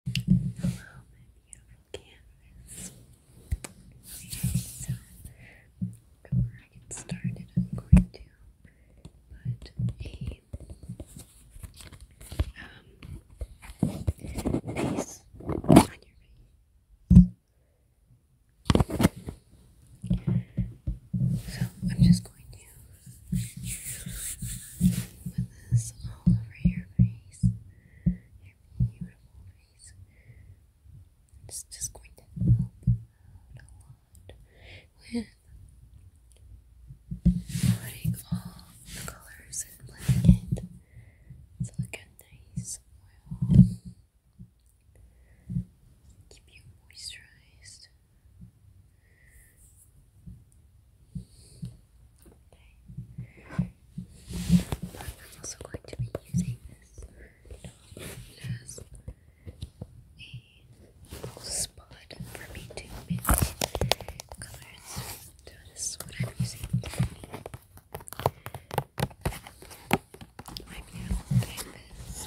Hello, my beautiful canvas. Okay, so before I get started, I'm going to put a um piece on face. So I'm just going to put this all over your face, your beautiful face. It's just going to help out a lot with putting all the colors and blending it to look nice Keep you moisturized. Okay. But I'm also going to be using this as a spot for me to mix colors. So I'm using. My beautiful canvas.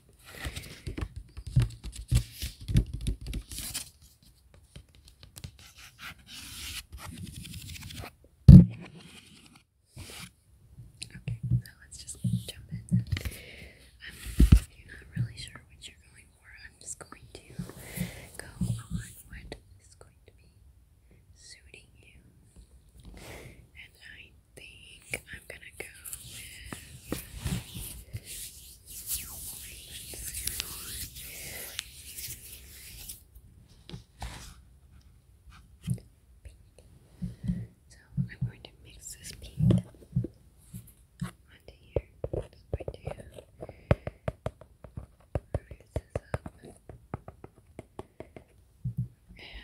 Okay, so let's just jump in. I'm not really sure what you're going for. I'm just going to go on what is going to be suiting you. And I I'm gonna pink. So I'm going to mix this pink onto here. I'm just to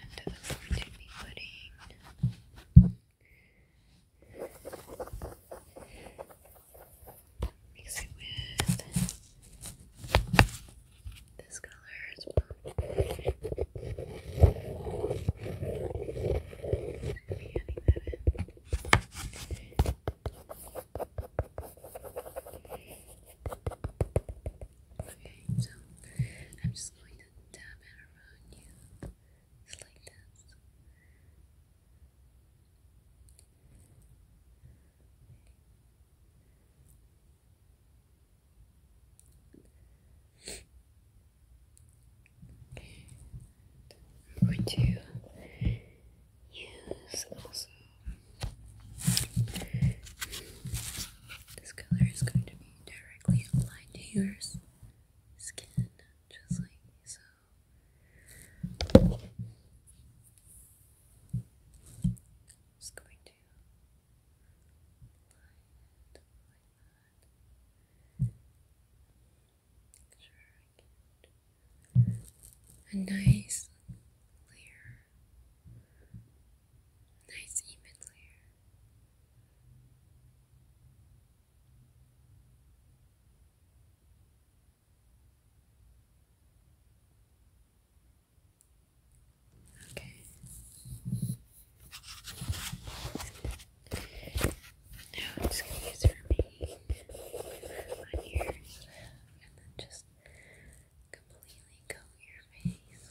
And I'm going to be putting Mix it with this color as well. Okay, so I'm just going to tap it around you. It's like this. use also this color is going to be directly applied to yours skin, just like so. Just going to line it like that. Make sure I get a nice layer, nice even layer. Okay. Now I'm just gonna use remain on yours and then just completely coat your face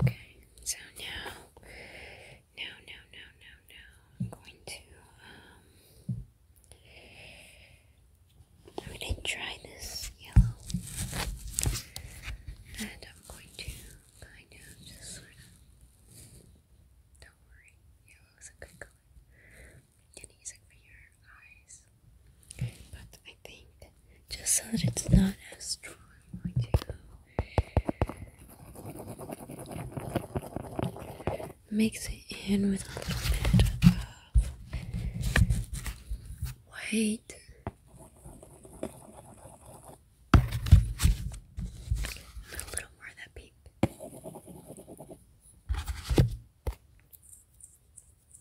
Okay, so now, no, no, no, no, I'm going to, um, I'm going to try this yellow. And I'm going to kind of just sort of, don't worry, yellow is a good color and using for your But I think just so that it's not as strong, I'm going to mix it in with a little bit of white. And a little more of that pink.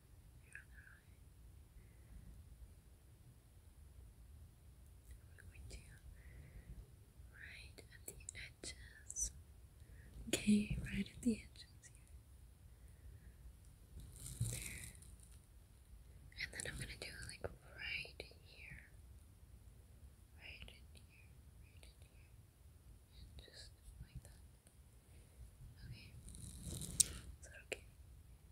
We're going to right at the edges. Okay, right at the edges here. And then I'm gonna do like right here. Right in here. Right in here. And just like that. Okay. Is that okay?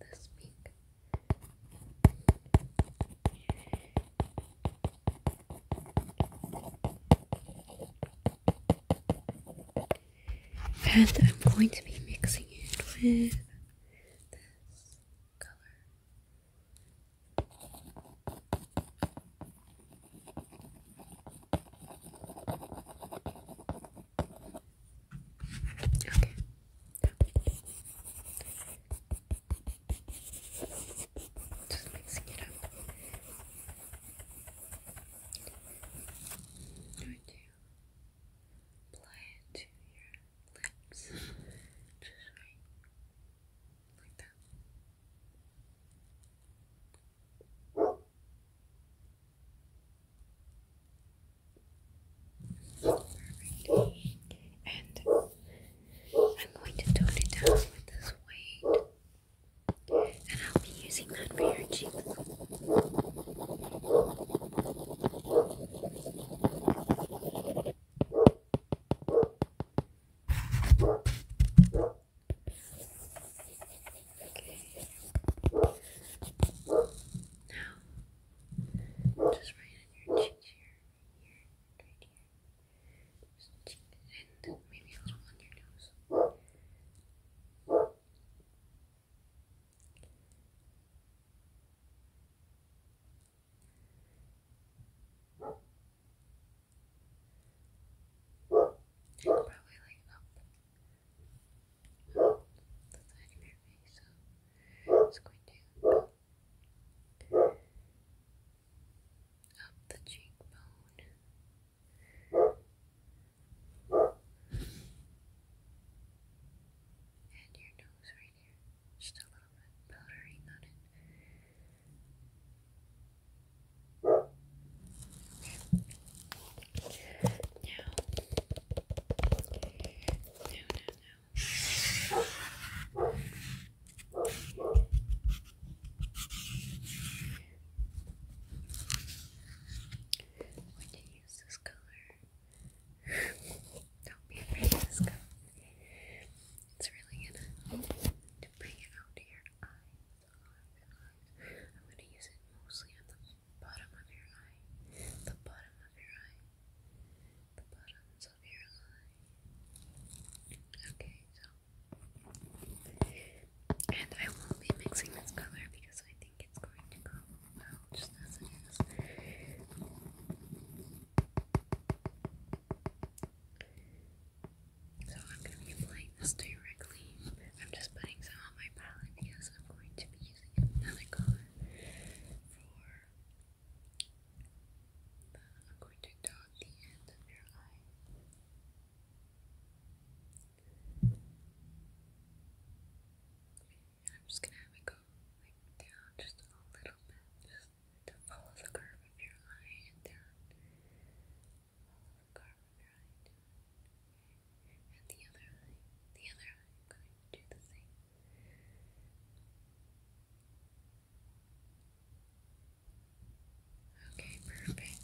this pink. And I'm going to be mixing it with this color. Okay. Just mixing it I'm going to apply it to your lips. Just right. Like that. And I'm going to tone it down with this weight. And I'll be using that for your cheek. Okay. Now, just right on your cheek here, here, right here. Just cheek, and maybe also on your nose. And probably like up the side of your face. So it's going to up the cheekbone. And your nose right here. Just a little bit powdery on it. No. No, no, no. When you use this color, don't be afraid of this color. It's really gonna bring out your eye. I'm going to use it mostly on the bottom of your eye. The bottom of your eye. The bottoms of your eye. Okay, so. And I won't be mixing this color because I think it's going to go well just as it is. So I'm going to be applying this directly. I'm just putting some on my palette because I'm going to be using another color for. I'm going to dot the end of your eye. I'm just gonna have it go like down just a little bit, just to follow the curve of your eye and down. Carve your And the other the other eye, going to do the same. Okay, perfect.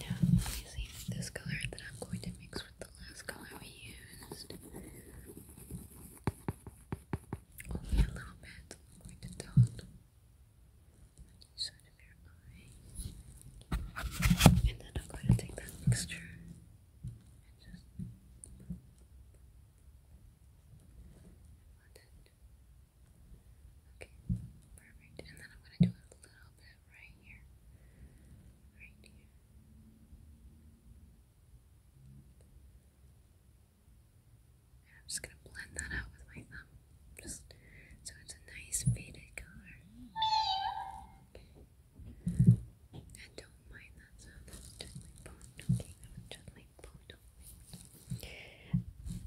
Now, let me see this color that I'm going to mix with the last color we used. Only a little bit, like the dot inside of your eye. And then I'm going to take that mixture and just blend it. Okay, perfect. And then I'm going to do a little bit right here. Right here. I'm just gonna blend that out with my thumb, just so it's a nice faded color. And don't mind that sound. That's just like bone okay? That's just like bone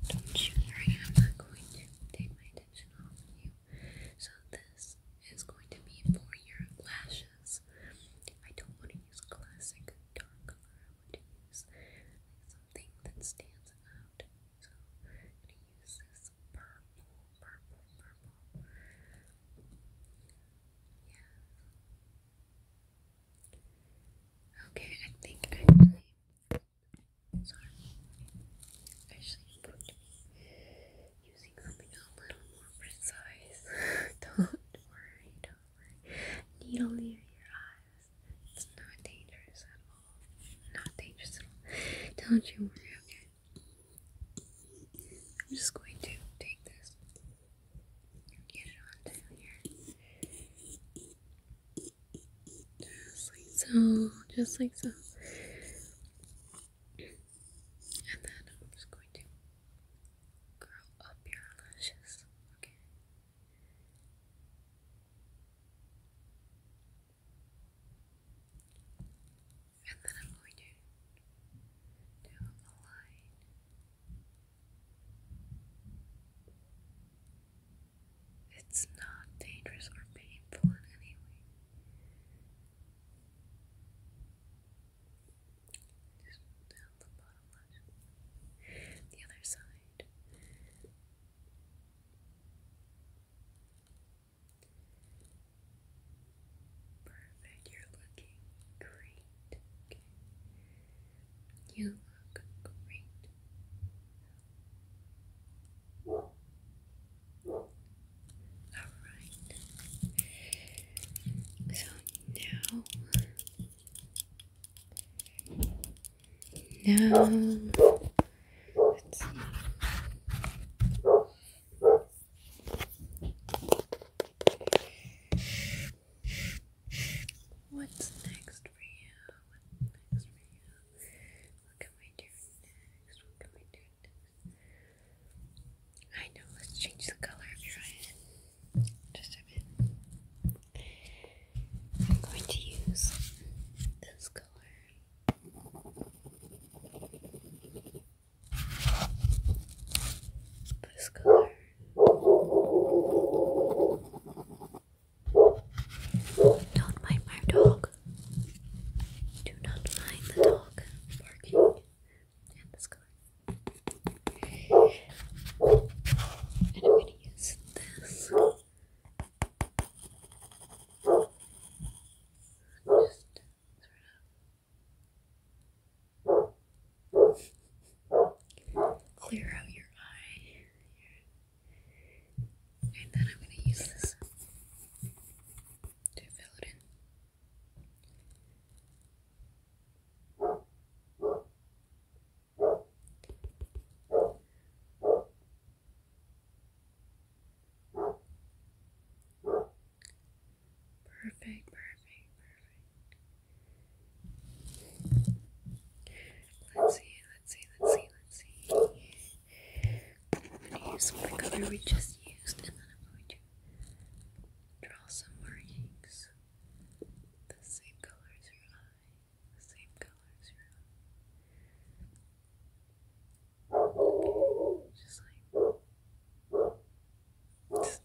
Don't shoot right now. I'm not going to take my attention off of you. So this is going to be for your lashes. I don't want to use classic dark color want something that stands out. So i purple, purple, purple. Yeah. Okay, I think actually. Sorry. Actually, I'm to be using something a little more precise. don't worry, over. Needle near your eyes. It's not dangerous at all. Not dangerous at all. Don't you worry, okay? I'm just going to take this get it on down here. so. Just like so. And then I'm just going to curl up your eyelashes, okay? And then I'm do a line. It's not dangerous or painful in any way. Just the other side. Perfect, you're looking great. You look great. Alright. So now no. What's next for you? What can we do next? I know, let's change the color of your eye just a bit. I'm going to use this color. This color. Don't mind my dog. Do not mind the dog barking and this color. And I'm going to use this. Just clear out your eye. And then I'm going to use this to fill it in. Perfect, perfect, perfect. Let's see, let's see, let's see, let's see. I'm gonna use the color we just used and then I'm going to draw some markings. The same color as your eye. The same color as your eye. Just like just, like that.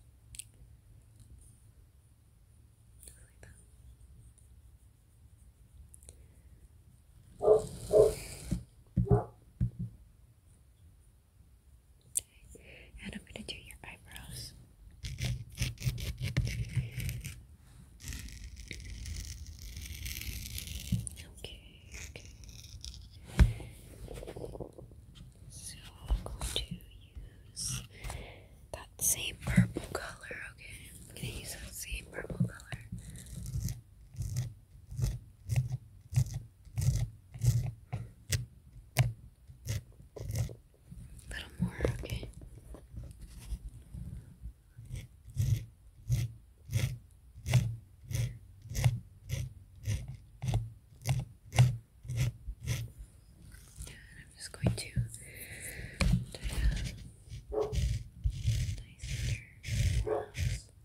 Okay. And I'm going to do your eyebrows. Okay, okay. So I'm going to use that same purple color, okay? I'm going to use that same purple color. A little more, okay. And I'm just going to nice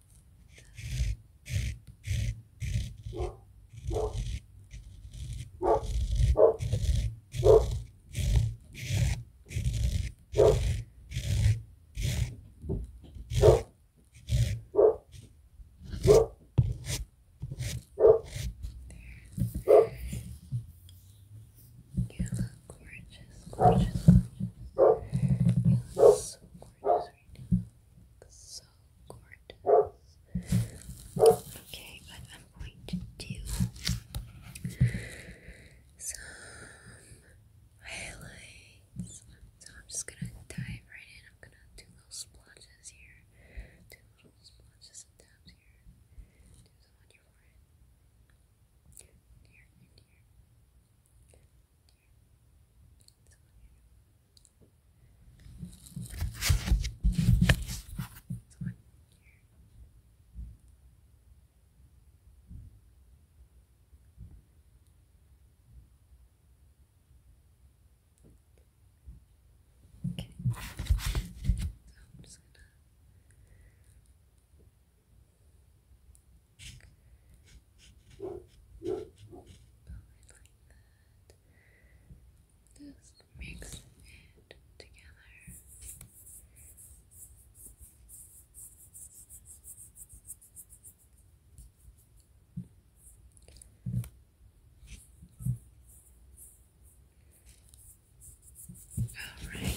you look gorgeous, gorgeous, gorgeous. You look so gorgeous so gorgeous. Okay, but I'm going to do some highlights. So I'm just gonna dive right in. I'm gonna do little splotches here, do little splotches and dabs here, do some on your forehead, here and here, here, Okay. So I'm just gonna that. Just mix it together. All right.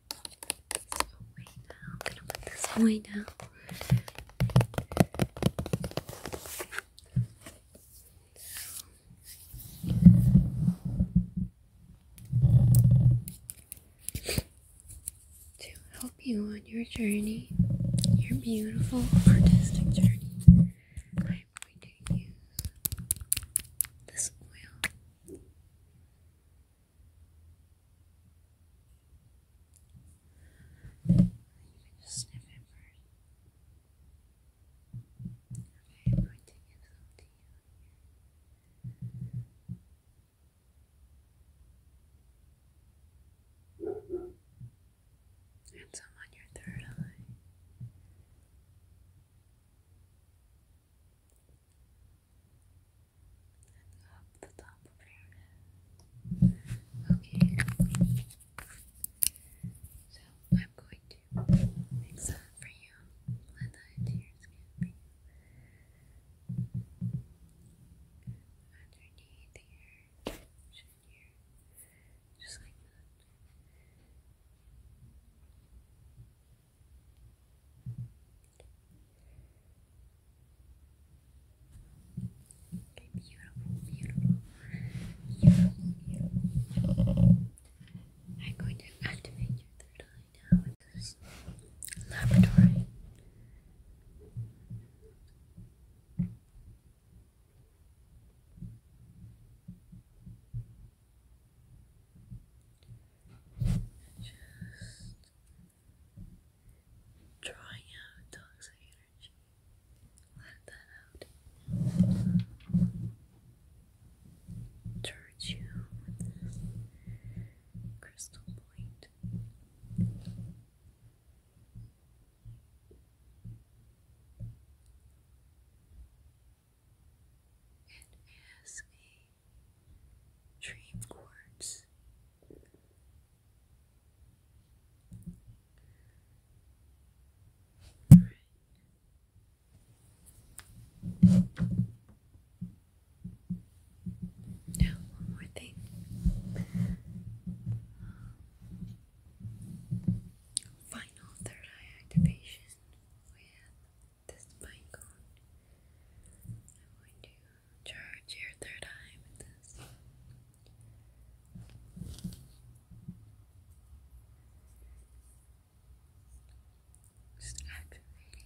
I'm gonna put this away now. To help you on your journey, your beautiful artistic journey, I'm going to use this oil. You can it first. to you here. And some on your third eye and Okay. So I'm going to mix that for you, blend that into skin for Underneath here, here, just like that. Okay, beautiful, beautiful, beautiful, beautiful. I'm going to activate your third now with this laboratory. Just drawing out toxic energy. Let that out. Charge you crystal point. It is a dream quartz. one more thing. Final third activation oh, this pine cone. I'm to charge your third time. this. Just activating it.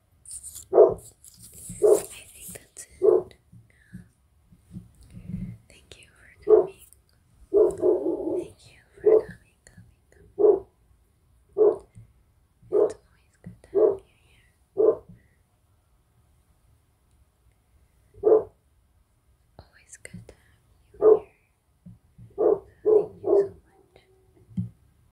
I think that's it. Thank you for coming. Thank you for coming, coming, coming. It's always good to have you here. Always good to have you here. Thank you so much.